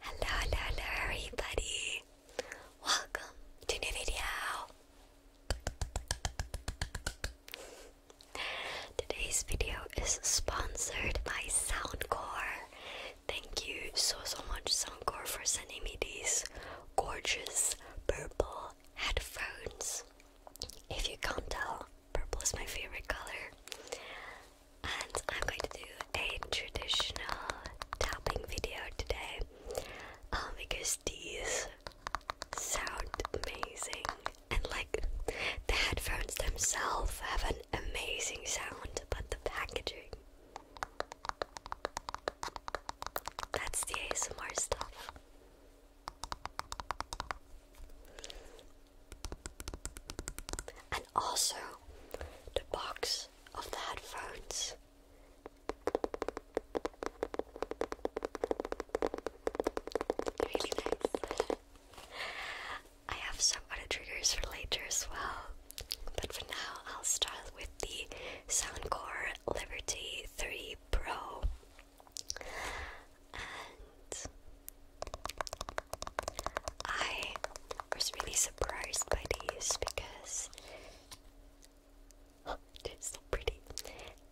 Hello, hello, hello, everybody! Welcome to new video. Today's video is sponsored by Soundcore. Thank you so so much, Soundcore, for sending me these gorgeous purple headphones. If you can't tell, purple is my favorite color and I'm going to do a traditional tapping video today um, because these sound amazing and like the headphones themselves have an amazing sound but the packaging that's the ASMR stuff and also the box of the headphones. Really nice. I have some other triggers for later as well, but for now I'll start with the Soundcore Liberty 3 Pro. And I was really surprised by these because they're so pretty.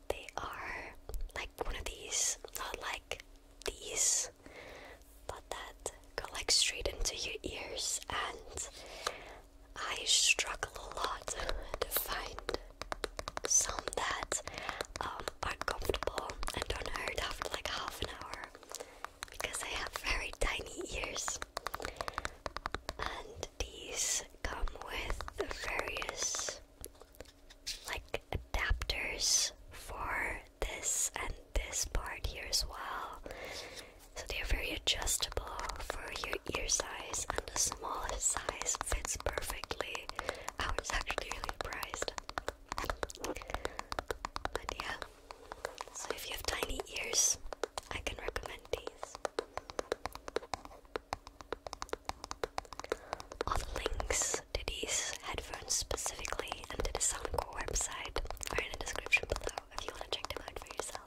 They are like one of these, not like these, but that go like straight into your ears, and I struggle a lot to find some that um, uncomfortable and don't hurt after like half an hour because I have very tiny ears. And these come with various like adapters for this and this part here as well. So they are very adjustable for your ear size, and the smallest size fits perfectly. I was actually really surprised. But yeah, so if you have tiny ears, I can recommend these. All the links to these headphones specifically and to the Soundcore website are in the description below if you want to check them out for yourself.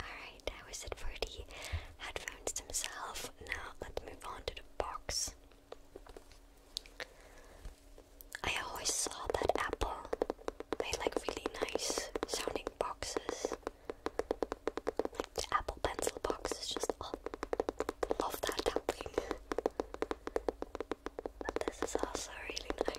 Alright, that was it for the headphones themselves. Now let's move on to the box. I always saw that Apple made like really nice sounding boxes. Like the Apple Pencil box is just, oh, love that tapping. But this is also really nice.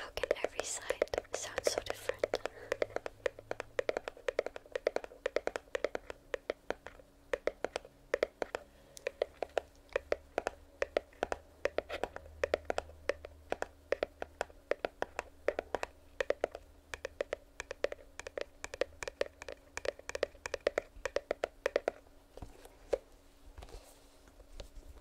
How can every side sound so different?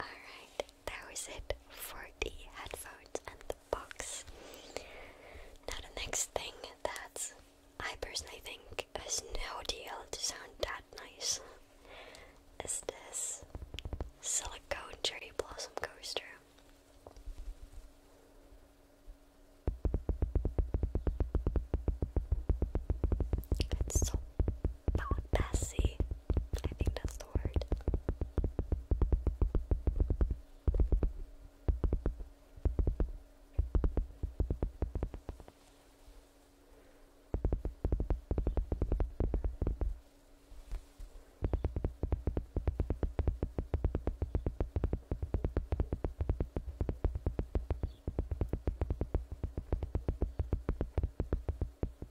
Alright, that was it for the headphones and the box. Now, the next thing that I personally think is no deal to sound that nice is this silicone cherry blossom coaster. It's so not messy. I think that's the word.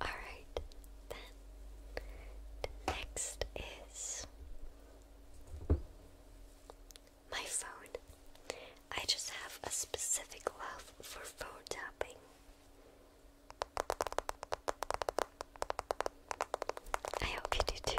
All right, then next is my phone. I just have a specific love for phone tapping. I hope you do too.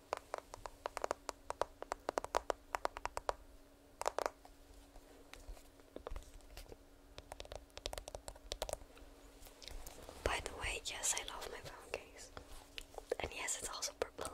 By the way, yes, I love my phone case. And yes, it's also purple.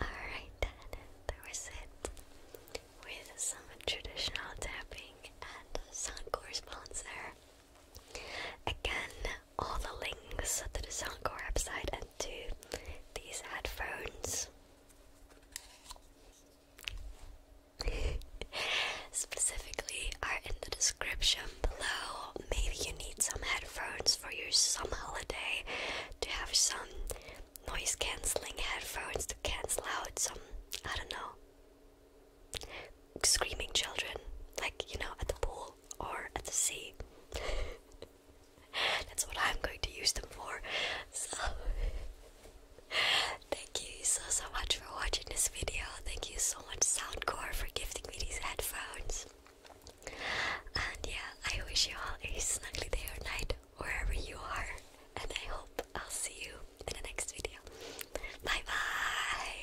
Alright, then that was it with some traditional tapping and Suncor sponsor. Again, all the links to the Suncor website and to these headphones Specifically are in the description below. Maybe you need some headphones for your some holiday to have some noise cancelling headphones to cancel out some, I don't know, screaming children, like you know, at the pool or at the sea. That's what I'm going to use them for. So, thank you so so much for watching this video. Thank you so much, Soundcore, for gifting me these headphones. And yeah, I wish you all a snuggly day or night wherever you are. And I hope I'll see you in the next video. Bye bye.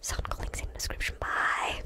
Sound links in the description. Bye.